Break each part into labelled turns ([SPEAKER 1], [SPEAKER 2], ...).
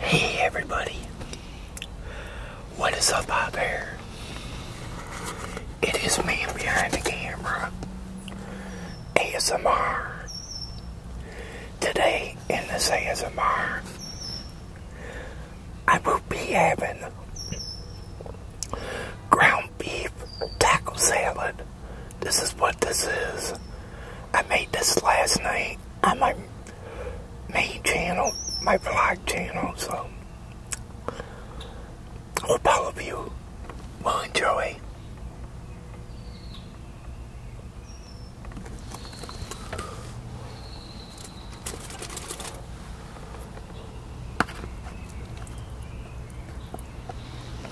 [SPEAKER 1] Hey everybody, what is up my bear? It is me behind the camera, ASMR. Today in this ASMR, I will be having ground beef taco salad this is what this is. I made this last night on my main channel, my vlog channel, so hope all of you will enjoy.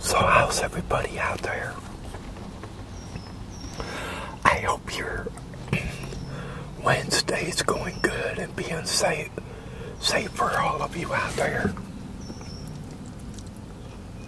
[SPEAKER 1] So how's everybody out there? I hope your Wednesdays going good and being safe, safe for all of you out there.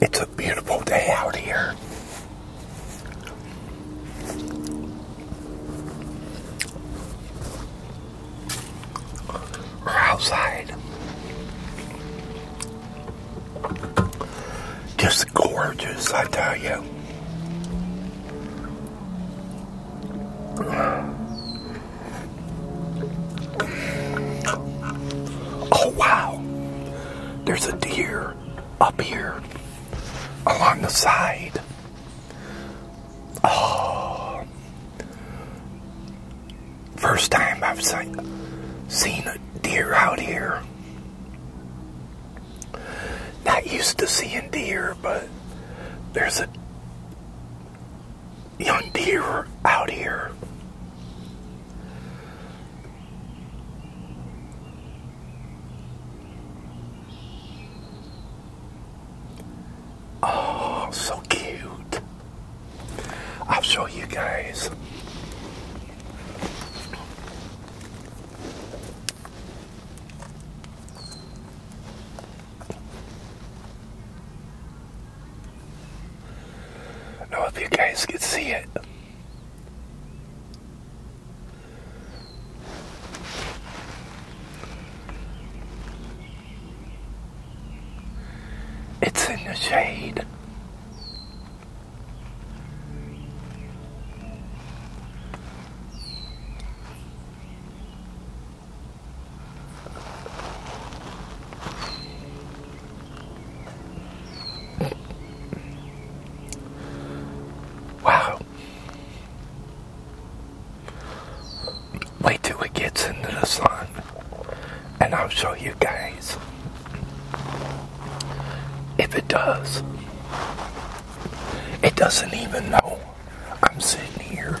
[SPEAKER 1] It's a beautiful day out here. Or outside just gorgeous, I tell you. Oh, wow. There's a deer up here along the side. Oh. First time I've seen, seen a deer out here. Not used to seeing deer, but there's a young deer out here. Oh, so cute. I'll show you guys. I don't know if you guys can see it. It's in the shade. Wow. Wait till it gets into the sun, and I'll show you guys. If it does, it doesn't even know I'm sitting here.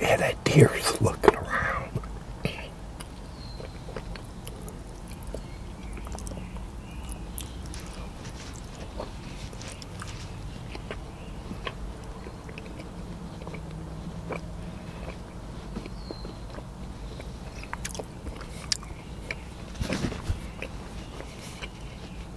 [SPEAKER 1] Yeah, that deer's looking around.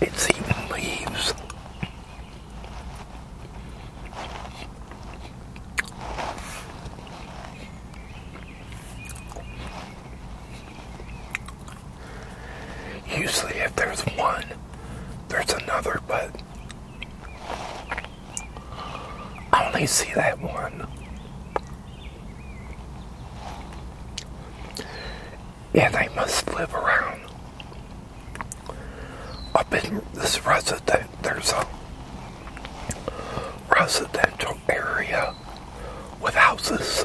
[SPEAKER 1] It's even leaves. Usually if there's one, there's another, but I only see that one. Yeah, they must live around. Up in this resident, there's a residential area with houses.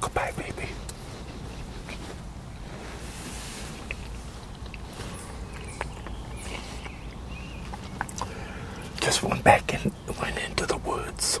[SPEAKER 1] Goodbye, baby. Just went back and went into the woods.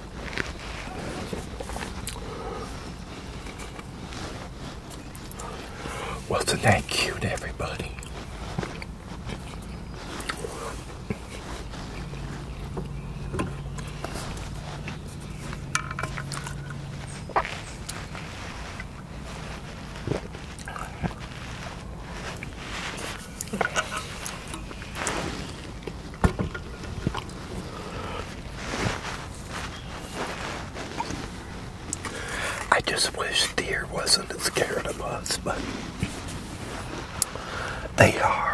[SPEAKER 1] Well, is thank you to everybody? I just wish deer wasn't as scared of us, but they are.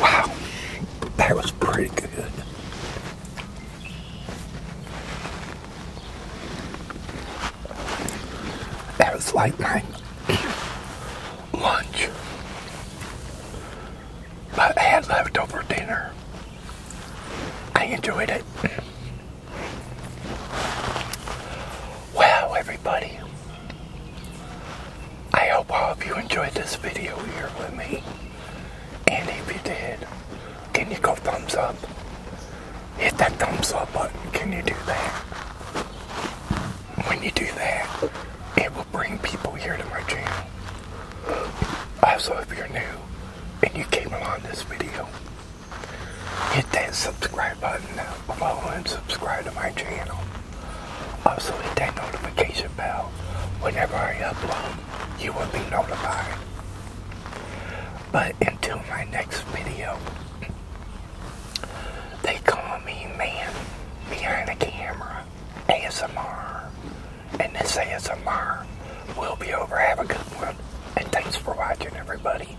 [SPEAKER 1] Wow, that was pretty good. That was light my lunch, but I had leftover dinner. I enjoyed it. Wow, everybody. I hope all of you enjoyed this video here with me. And if you did, can you go thumbs up? Hit that thumbs up button. Can you do that? When you do that, it will bring people here to my channel. Also, if you're new and you came along this video, hit that subscribe Button now, follow and subscribe to my channel. Also hit that notification bell. Whenever I upload, you will be notified. But until my next video, they call me man behind the camera, ASMR. And this ASMR will be over. Have a good one. And thanks for watching, everybody.